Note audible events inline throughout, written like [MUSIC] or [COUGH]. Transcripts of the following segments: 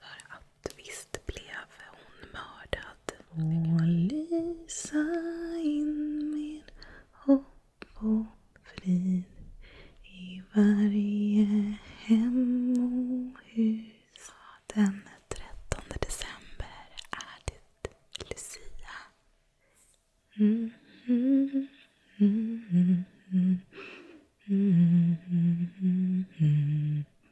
För att visst blev hon mördad. Och lysa in med hopp och frid i varje hem och hus. Den 13 december är det Lucia. Mm, mm, mm, mm, mm, mm, mm, mm.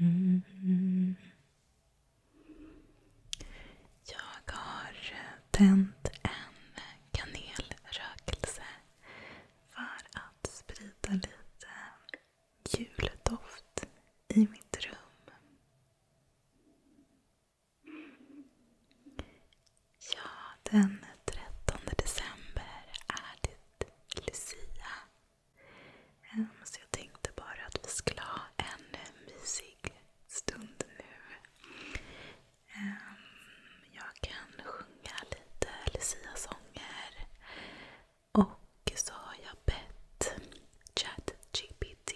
Mm. Jag har tänt en kanelrökelse för att sprida lite juldoft i mitt rum. Ja, den 13 december är det Lucia Ehm, så jag tänkte bara att vi skulle ha en mysig stund nu. Ehm, jag kan sjunga lite lucia Och så har jag bett ChatGPT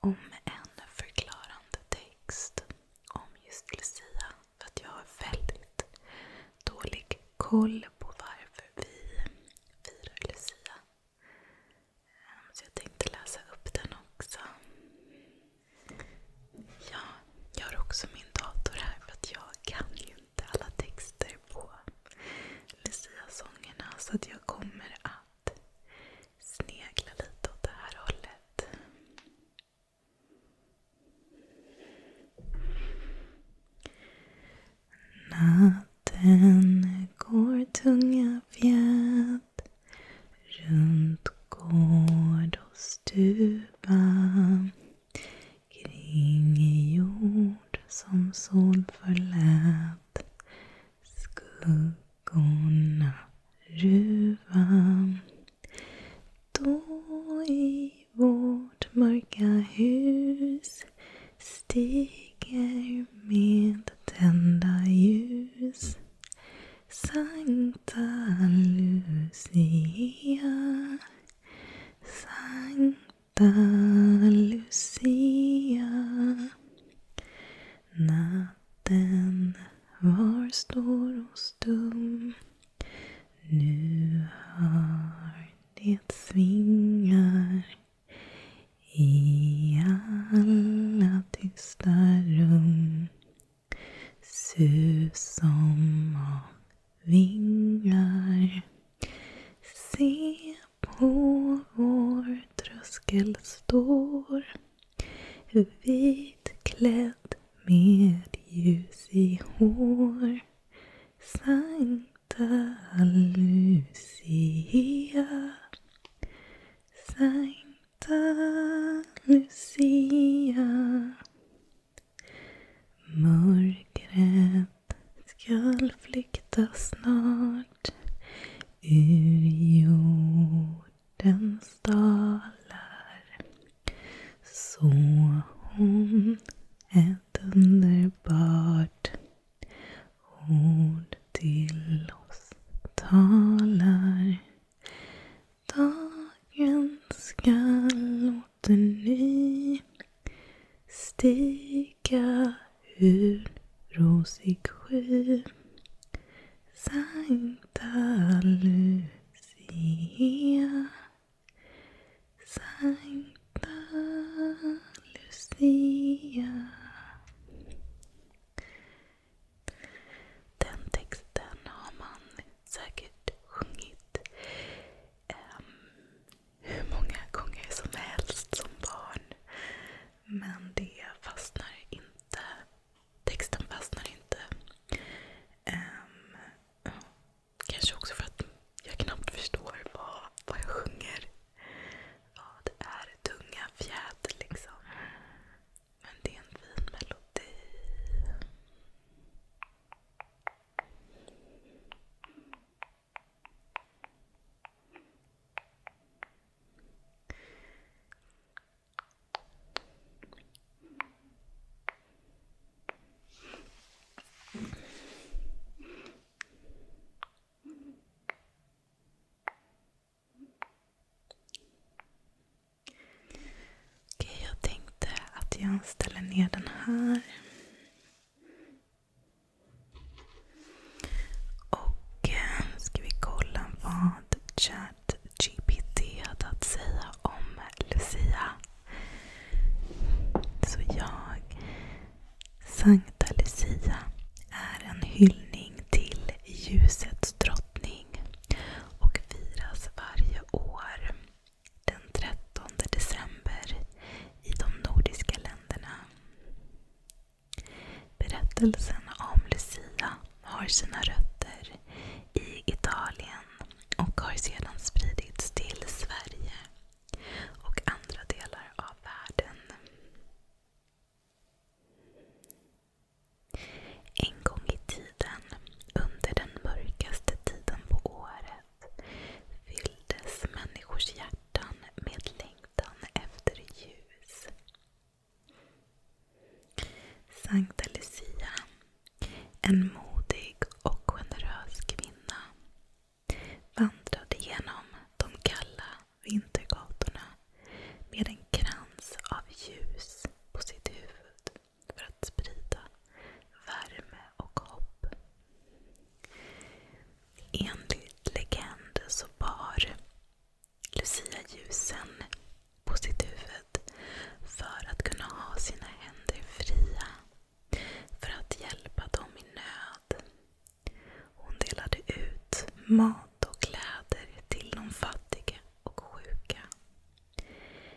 om en förklarande text om just Lucia. För att jag har väldigt dålig koll på varför vi firar Lucia. Ehm, så jag tänkte läsa upp den också. Ja, jag har också min dator här för att jag kan ju inte alla texter på lucia Så jag kommer att snegla lite åt det här hållet. Natten går tunga fjät runt gård och stuva kring jord som sol förlät skuggorna ruva då i vårt mörka hus stiger med tända ljus Sankta Lucia Sankta Lucia Natten var stor och stum nu hör det svingar i alla tysta rum Sus som av vingar Se på vår tröskel står vitklädd med ljus i hår Sankta Lucia Sankta Lucia Mörkret skall flykta snart ur jordens dalar så hon ett underbart ord till oss talar. Dagen skall låta ny stiga ur rosig sky. Sankta Lucia Sankta Lucia. Den texten har man säkert sjungit um, hur många gånger som helst som barn. Men det fastnar inte. Texten fastnar inte. Um, Kanske också för att jag knappt förstår vad, vad jag sjunger. Vad ja, är tunga fjät liksom. Men det är en fin melodi. Okej, jag tänkte att jag ställer ner den här. Och eh, ska vi kolla vad ChatGPT hade att säga om Lucia. Så jag, Sankta Lucia, är en hyllning till ljusets drottning och firas varje år den 13 december i de nordiska länderna. Berättelsen om Lucia har sina rötter i Italien och har sedan spridits till Sverige och andra delar av världen. En gång i tiden, under den mörkaste tiden på året, fylldes människors hjärtan med längtan efter ljus. Sankta Lucia en modig och generös kvinna vandrade genom de kalla vintergatorna med en krans av ljus på sitt huvud för att sprida värme och hopp. Enligt legend så bar Lucia ljusen på sitt huvud för att kunna ha sina händer fria för att hjälpa dem i nöd. Hon delade ut mat och kläder till de fattiga och sjuka.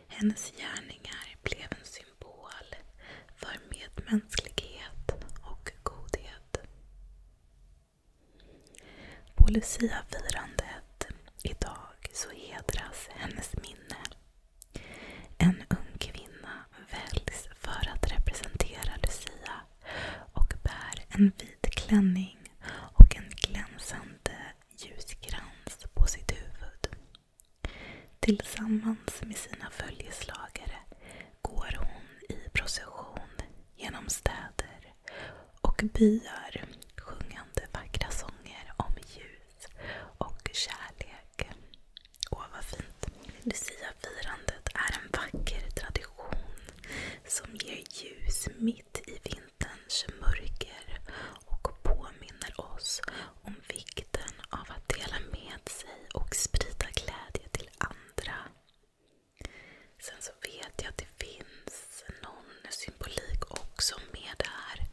Hennes gärningar blev en symbol för medmänsklighet och godhet. På Luciafirandet idag så hedras hennes minne en ung kvinna väljs för att representera Lucia och bär en vit klänning och en glänsande ljuskrans på sitt huvud. Tillsammans med sina följeslagare går hon i procession genom städer och byar sjungande vackra sånger om ljus och kärlek. Åh, vad fint. Luciafirandet är en vacker tradition som ger ljus mitt i vinterns mörker och påminner oss om vikten av att dela med sig och sprida glädje till andra. Sen så vet jag att det finns någon symbolik också med det här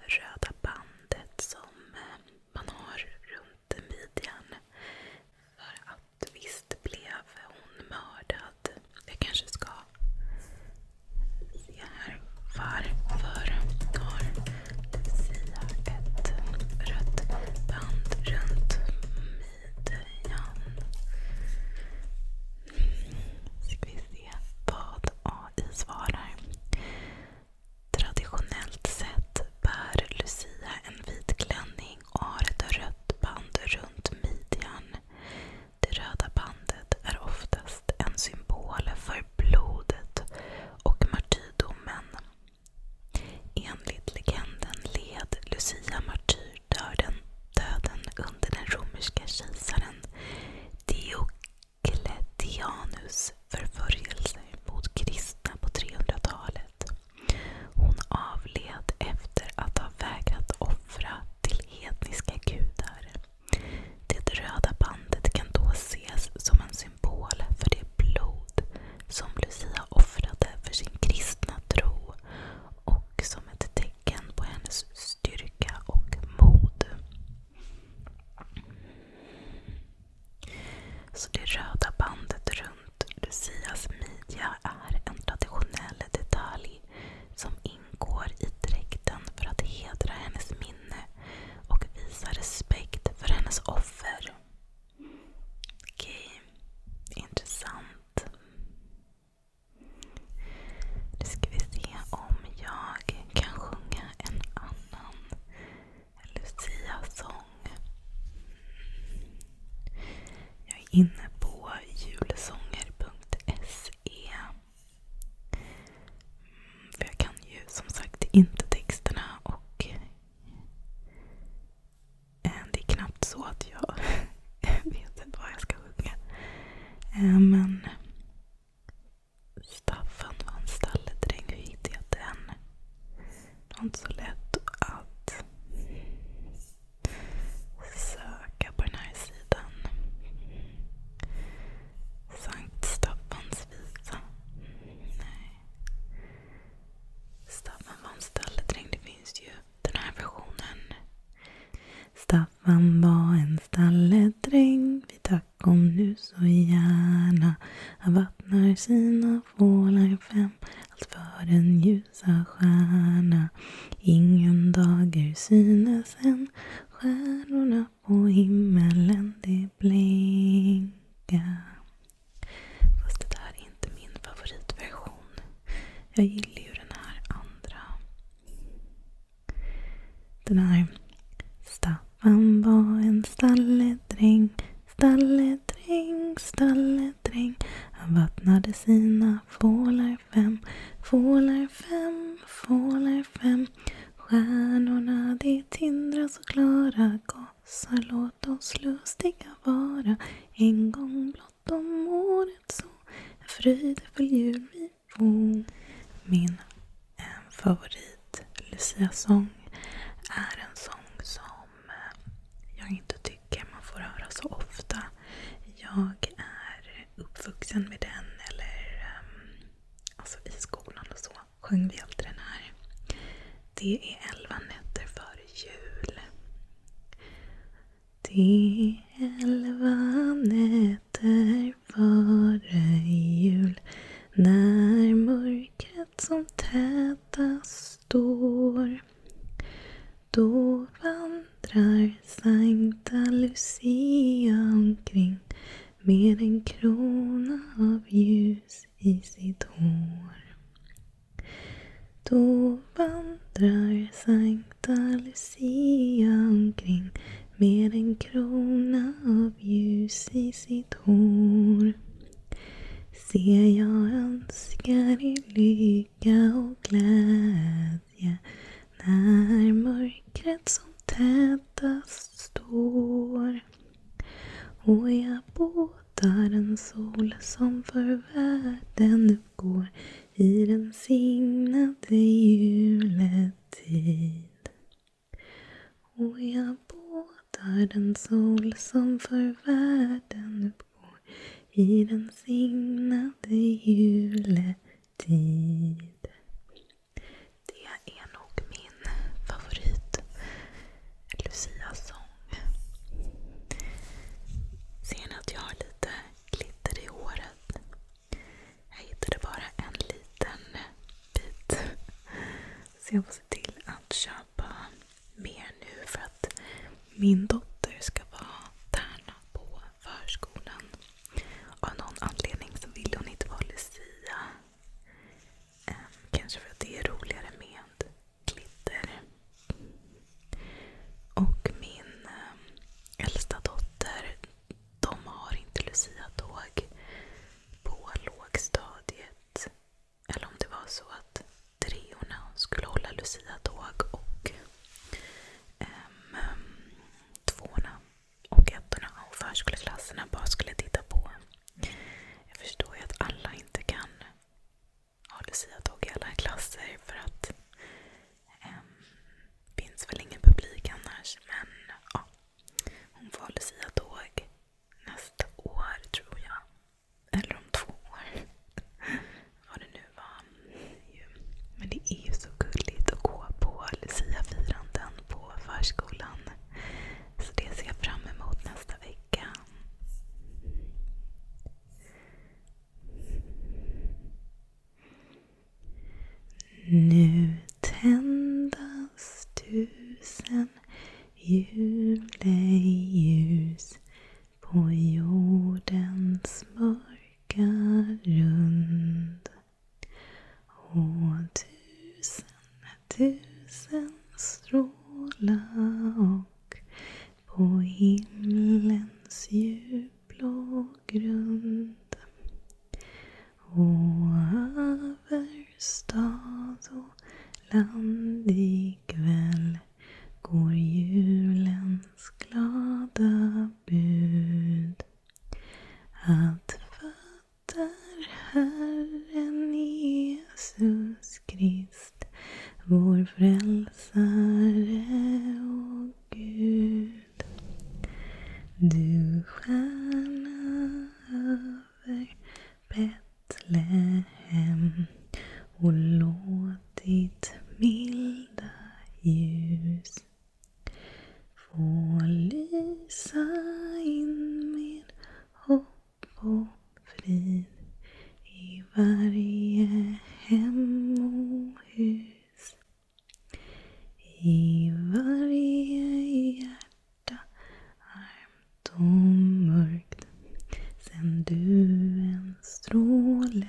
röda bandet bandet som eh, man har runt midjan. För att visst blev hon mördad. Jag kanske ska se här. Varför har Lucia ett rött band runt midjan? AI svarar. Traditionellt sett bär Lucia en vit klänning och har ett rött band runt midjan. Det röda bandet är oftast en symbol för blodet och martyrdomen. Enligt legenden led Lucia martyrdöden under den romerska kejsaren Diocletianus förföljelse mot kristna på 300-talet. Hon avled efter att ha vägrat offra till hedniska gudar. Det röda bandet kan då ses som en symbol för det blod som Lucia offrade för sin kristna tro och som ett tecken på hennes styrka och mod. Så det röda bandet runt Lucias midja är en traditionell detalj som ingår i dräkten för att hedra hennes minne och visa respekt för hennes offer. Okej, intressant. Nu ska vi se om jag kan sjunga en annan lucia Jag är inne på julsånger.se. Mm, för jag kan ju som sagt inte texterna och eh, det är knappt så att jag [LAUGHS] vet vad jag ska sjunga. Eh, men Staffan var en stalledräng. Hur hittade jag den? Det var inte så lätt att söka på den här sidan. Sankt Staffans visa. Nej. Staffan var en stalledräng. Det finns ju den här versionen. Staffan var en stalledräng. Vi dök kom nu så gärna. Han vattnar sina fålar fem, allt för den ljusa stjärna. Ingen dager synes än, stjärnorna på himmelen de blinka. Fast det där är inte min favoritversion. Jag gillar ju den här andra. Den här. Staffan var en stalledräng, stalledräng, stalledräng. Han vattnade sina fålar fem, fålar fem, fålar fem. Stjärnorna de tindrar så klara, gossar låt oss lustiga vara. En gång blott om året så, en fröjdefull jul min eh, favorit Lucia-sång är en sång som eh, jag inte tycker man får höra så ofta. Jag är uppvuxen med den eller ehm, alltså i skolan och så sjöng vi alltid den här. Det är elva nätter före jul. Det är elva nätter vara jul när mörkret som tätast står då vandrar Sankta Lucia omkring med en krona av ljus i sitt hår. Då vandrar Sankta Lucia omkring med en krona av ljus i sitt hår. Se, jag önskar er lycka och glädje när mörkret som tätast står. Och jag båtar en sol som för världen uppgår i den signade julet tid. Och jag båtar den sol som för världen uppgår i den signade juletid. Det är nog min favorit lucia Ser ni att jag har lite glitter i håret? Jag hittade bara en liten bit. Så jag får se till att köpa mer nu för att min dotter ska vara tärna på förskolan. Av någon anledning så vill hon inte vara Lucia. Ehm, kanske för att det är roligare med glitter. Och min ehm, äldsta dotter de har inte Lucia-tåg på lågstadiet. Eller om det var så att treorna skulle hålla Lucia-tåg och um, tvåorna och ettorna och förskoleklasserna bara skulle titta på. Jag förstår ju att alla inte kan ha Lucia-tåg i alla klasser för att Um, finns väl ingen publik annars. Men ja, hon får luciatåg nästa år tror jag. Eller om två år. [LAUGHS] Vad det nu var. Men det är ju så gulligt att gå på luciafiranden på förskolan. Så det ser jag fram emot nästa vecka. Nu tändas tusen juleljus på jordens mörka rund. Och tusen, tusen stråla och på himlens ljus blå grund och över stad och land ikväll går julens glada bud att fattar Herren Jesus Krist vår frälsare och Gud. Du stjärna över Betlehem och låt ditt milda ljus få lysa in med hopp och frid i varje hem och hus. I varje hjärta armt och mörkt sen du en stråle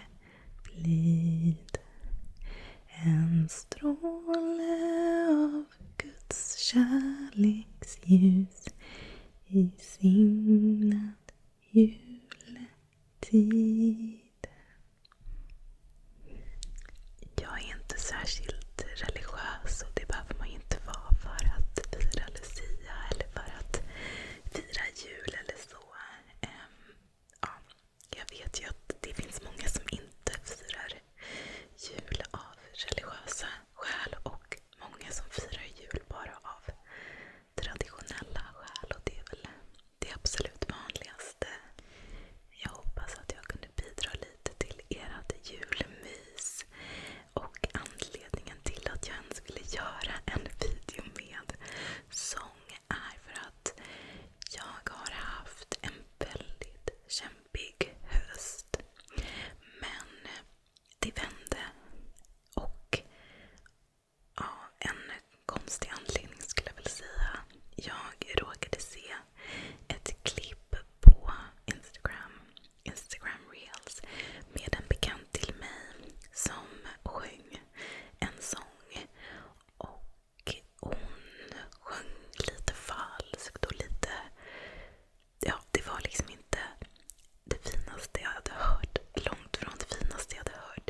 blid. En stråle av Guds kärleksljus i signad juletid tid. Jag är inte särskilt religiös och det behöver man ju inte vara för att fira Lucia eller för att fira jul eller så. Ehm, ja, jag vet ju att det finns många som inte firar jul av religiösa skäl och många som firar jul bara av traditionella skäl. Och det är väl det absolut vanligaste. Jag hoppas att jag kunde bidra lite till ert julmys. Och anledningen till att jag ens ville göra en video med sång är för att jag har haft en väldigt kämpig höst. Men det vände. Och ja, en konstig anledning skulle jag väl säga. Jag råkade se ett klipp på Instagram, Instagram reels med en bekant till mig som sjöng en sång. Och hon sjöng lite falskt och lite... Ja, det var liksom inte det finaste jag hade hört. Långt från det finaste jag hade hört.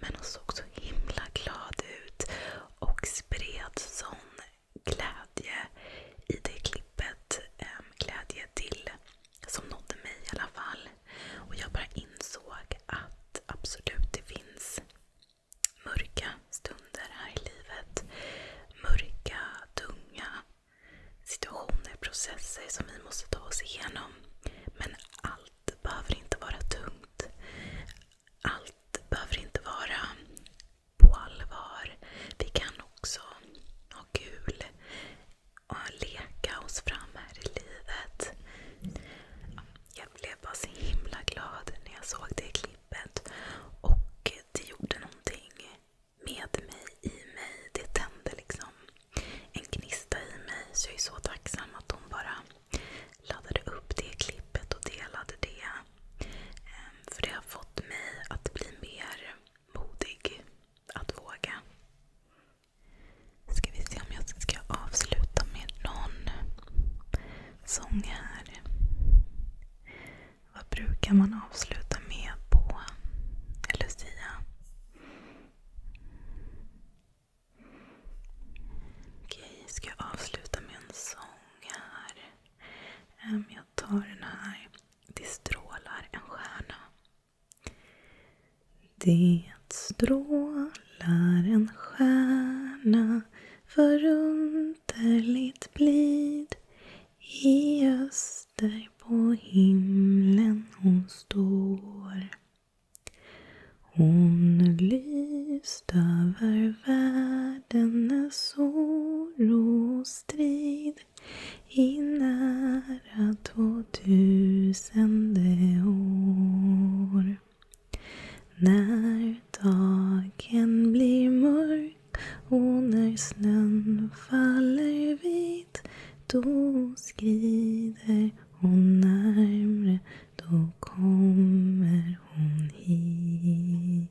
Men hon såg så himla glad ut och spred sån glädje i det klippet. Glädje till, som nådde mig i alla fall. Och jag bara insåg att absolut, det finns mörka stunder här i livet. Mörka, tunga situationer, processer som vi måste ta oss igenom. Men allt behöver inte vara tungt allt behöver inte vara på allvar. Vi kan också ha kul och leka oss fram här i livet. Jag blev bara så himla glad när jag såg det klippet. Och det gjorde någonting med mig, i mig. Det tände liksom en gnista i mig. Så jag är så tacksam att de bara laddade upp det klippet och delade det. Ehm, för det har fått mig att bli mer modig. Att våga. Ska vi se om jag ska avsluta med någon sång här. Vad brukar man avsluta med på Lucia? Okej, ska jag avsluta med en sång här? Jag tar den här. Det strålar en stjärna. Det strålar en stjärna förunderligt blid i öster på himlen hon står. Hon lyst över världen när sorg och strid i nära tvåtusende år. När dagen blir mörk och när snön faller vit då skrider hon närmre då kommer hon hit.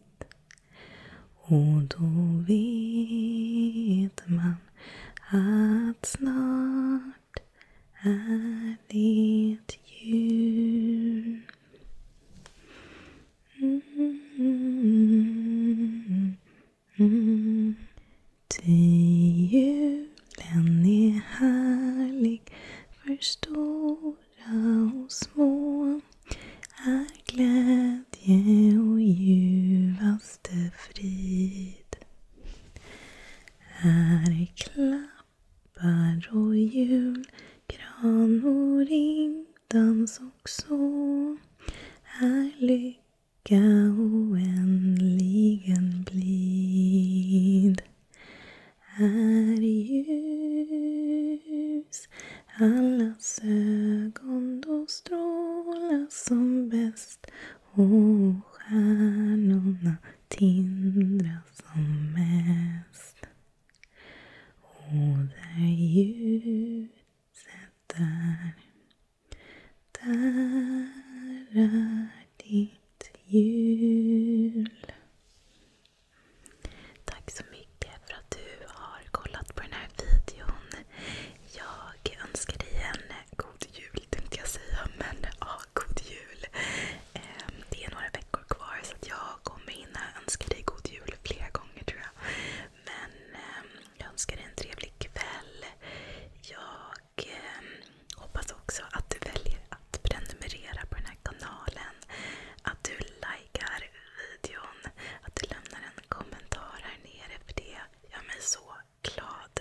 Och då vet man att snart är det jul. Mm, mm, mm, mm. till jul den är härlig för stora och små är glädje och ljuvaste frid. Här är klappar och hjul, gran och ringdans och så. Här lycka oändligen blid är ljus Allas ögon då strålar som bäst och stjärnorna tindrar som mest. Och där ljuset är, där är ditt jul. Tack så mycket för att du har kollat på den här videon. Jag önskar dig en god jul tänkte jag säga, men ja, god jul. Ehm, det är några veckor kvar så jag kommer hinna önska dig god jul flera gånger tror jag. Men ehm, jag önskar dig en trevlig kväll. Jag jag eh, hoppas också att du väljer att prenumerera på den här kanalen. Att du likar videon. Att du lämnar en kommentar här nere. För det gör mig så glad.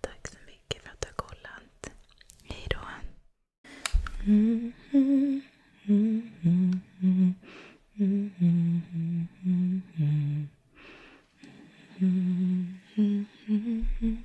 Tack så mycket för att du har kollat. Hejdå. Mm -hmm. Mm -hmm. Mm -hmm. Mm -hmm. Mm -hmm. Mm -hmm.